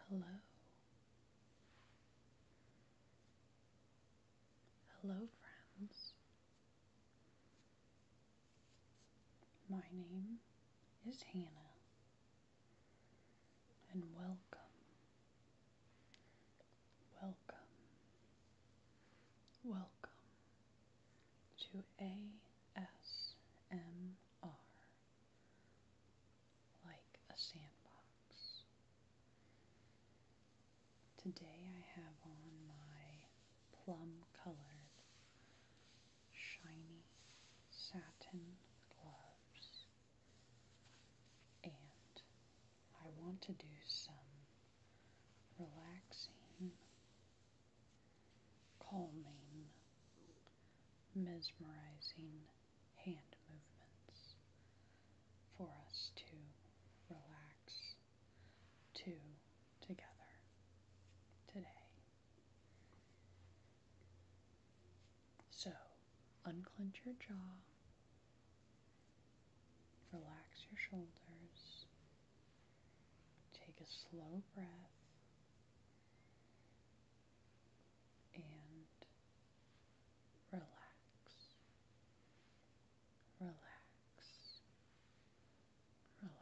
Hello. Hello, friends. My name is Hannah, and welcome, welcome, welcome to ASMR, like a sandbox. Today I have on my plum colored, shiny satin gloves, and I want to do some relaxing calming, mesmerizing hand movements for us to relax to together today. So, unclench your jaw, relax your shoulders, take a slow breath and relax, relax, relax.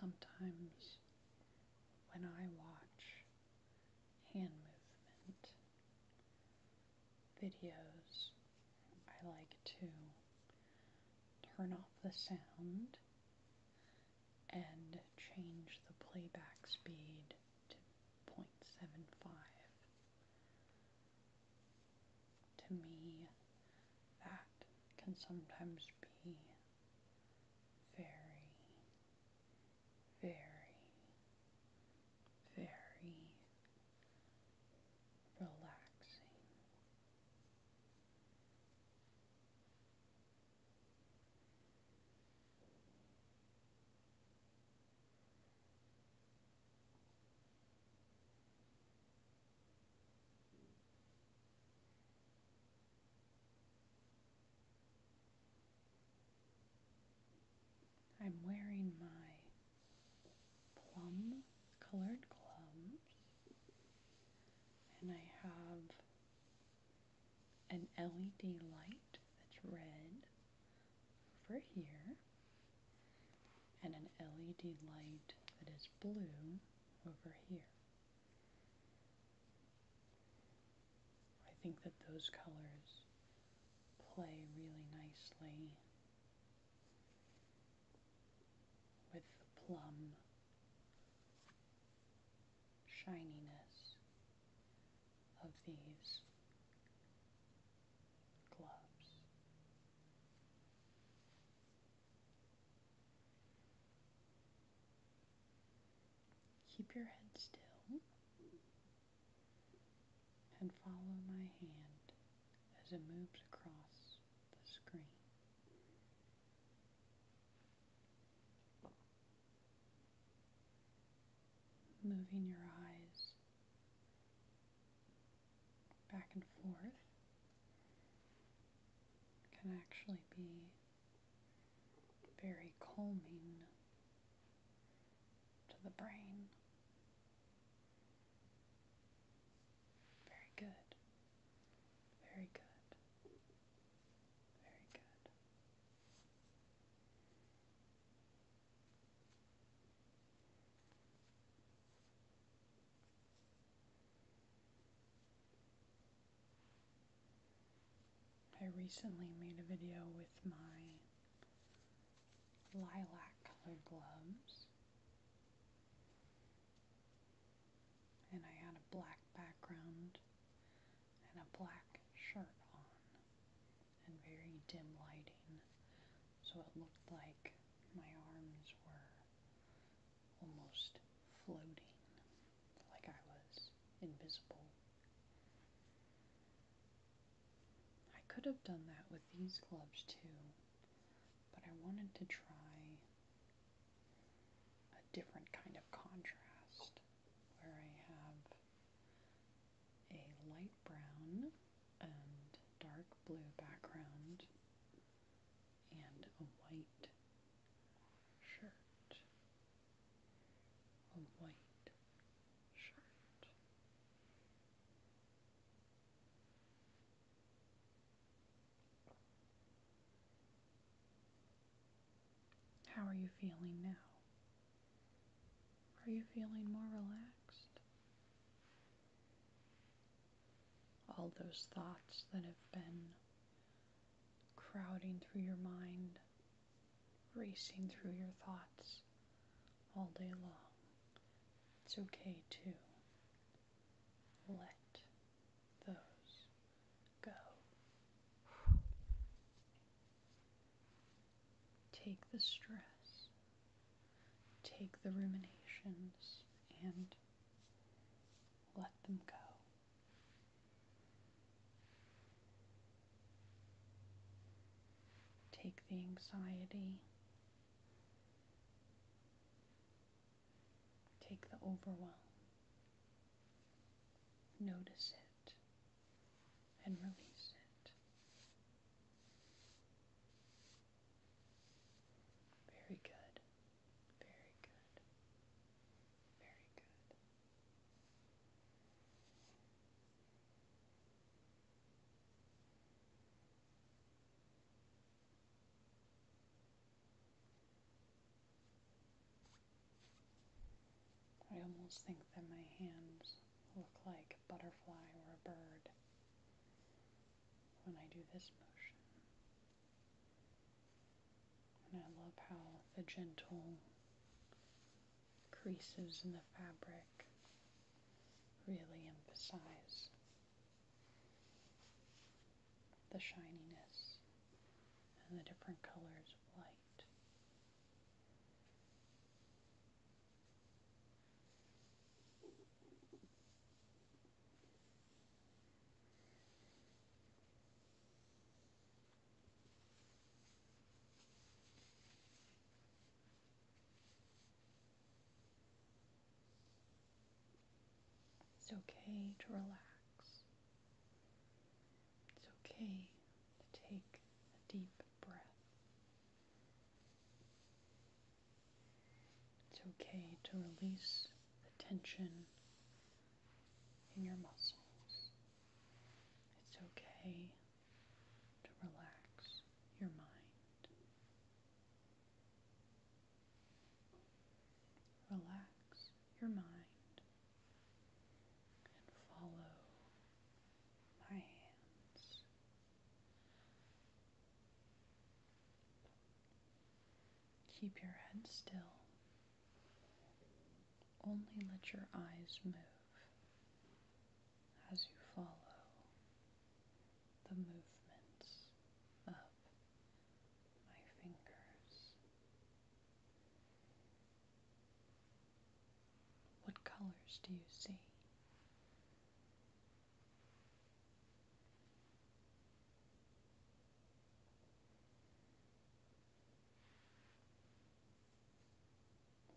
Sometimes when I watch hand movement, videos, I like to turn off the sound and change the playback speed to 0.75. To me, that can sometimes be very, very, very relaxing. I'm wearing my plum colored gloves, and I have an LED light that's red over here, and an LED light that is blue over here. I think that those colors play really nicely with the plum shininess of these gloves. Keep your head still and follow my hand as it moves across the screen. Moving your eyes back and forth can actually be very calming to the brain very good. Very good. Very good. I recently made a video with my lilac colored gloves. And I had a black background and a black shirt on and very dim lighting. So it looked like my arms were almost floating, like I was invisible. I could have done that with these gloves too, but I wanted to try a different kind of contrast where I have a light brown and dark blue background and a white shirt, a white shirt. How are you feeling now? Are you feeling more relaxed? All those thoughts that have been crowding through your mind racing through your thoughts all day long. It's okay to let those go. Take the stress, take the ruminations, and let them go. Take the anxiety, take the overwhelm, notice it, and release it. Very good, very good, very good. I almost think that my hands look like a butterfly or a bird when I do this motion. And I love how the gentle creases in the fabric really emphasize the shininess and the different colors of light. It's okay to relax. It's okay to take a deep breath. It's okay to release the tension in your muscles. It's okay to relax your mind. Relax your mind and follow my hands. Keep your head still only let your eyes move as you follow the movements of my fingers. What colors do you see?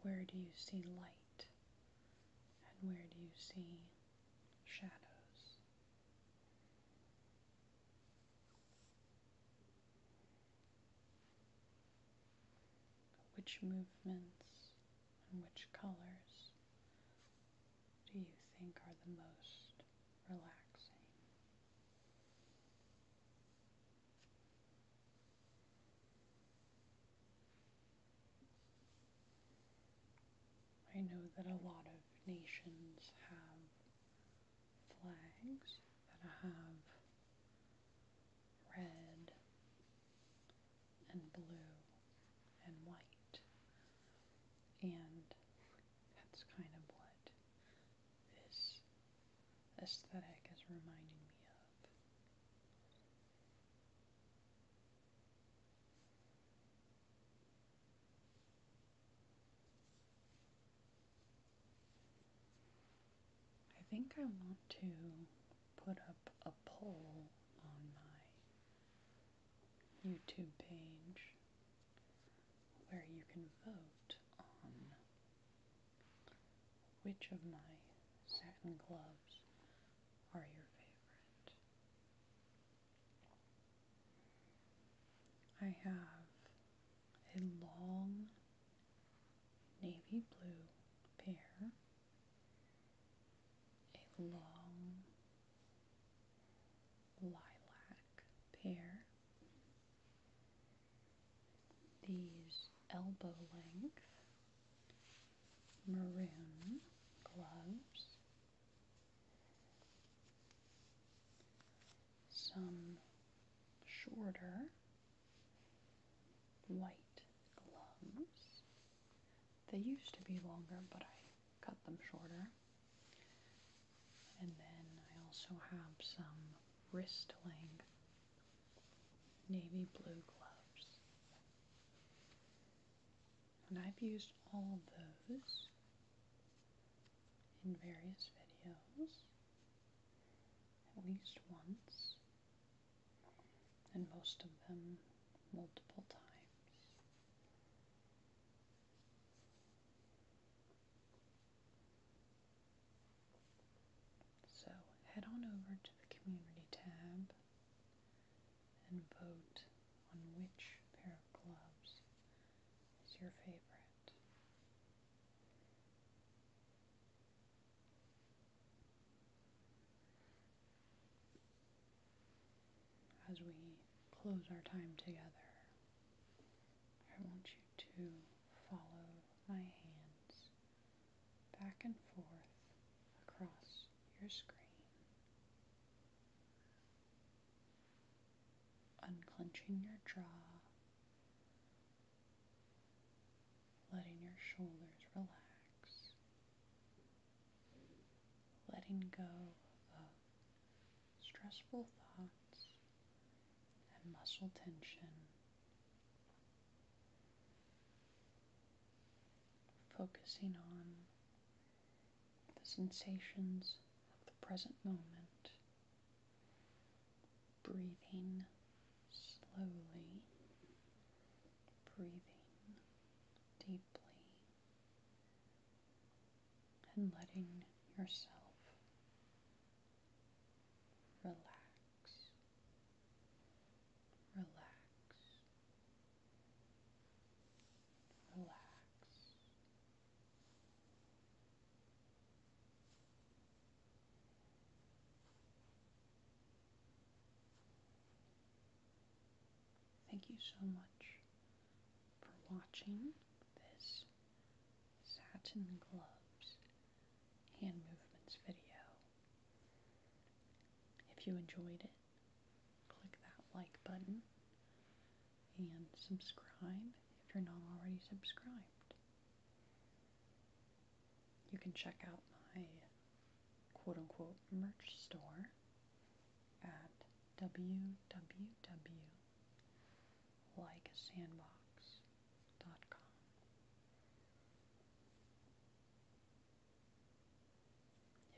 Where do you see light and where do you see shadows? Which movements and which colors do you think are the most relaxing? I know that a lot of nations have flags that have red and blue and white, and that's kind of what this aesthetic is reminding me of. I think I want to put up a poll on my YouTube page where you can vote on which of my satin gloves are your favorite? I have a long navy blue pair, a long lilac pair, these elbow length maroon gloves, some shorter white gloves. They used to be longer, but I cut them shorter. And then I also have some wrist length navy blue gloves. And I've used all those in various videos at least once, and most of them multiple times. So head on over to the community tab and vote on which pair of gloves is your favorite. As we close our time together, I want you to follow my hands back and forth across your screen. Unclenching your jaw, letting your shoulders relax, letting go of stressful thoughts and muscle tension. Focusing on the sensations of the present moment, breathing slowly, breathing deeply, and letting yourself relax, relax, relax. Thank you so much for watching this satin gloves hand movements video. If you enjoyed it, click that like button and subscribe if you're not already subscribed. You can check out my quote unquote merch store at www like likeasandbox.com.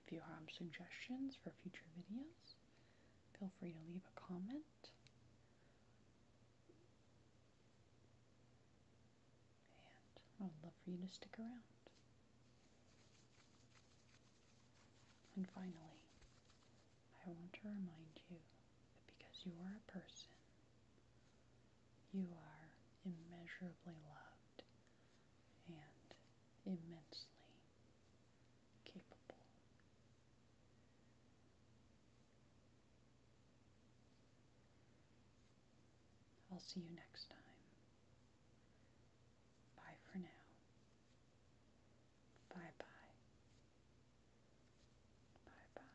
If you have suggestions for future videos, feel free to leave a comment. And I would love for you to stick around. And finally, I want to remind you that because you are a person, you are immeasurably loved and immensely capable. I'll see you next time. Bye for now. Bye bye. Bye bye.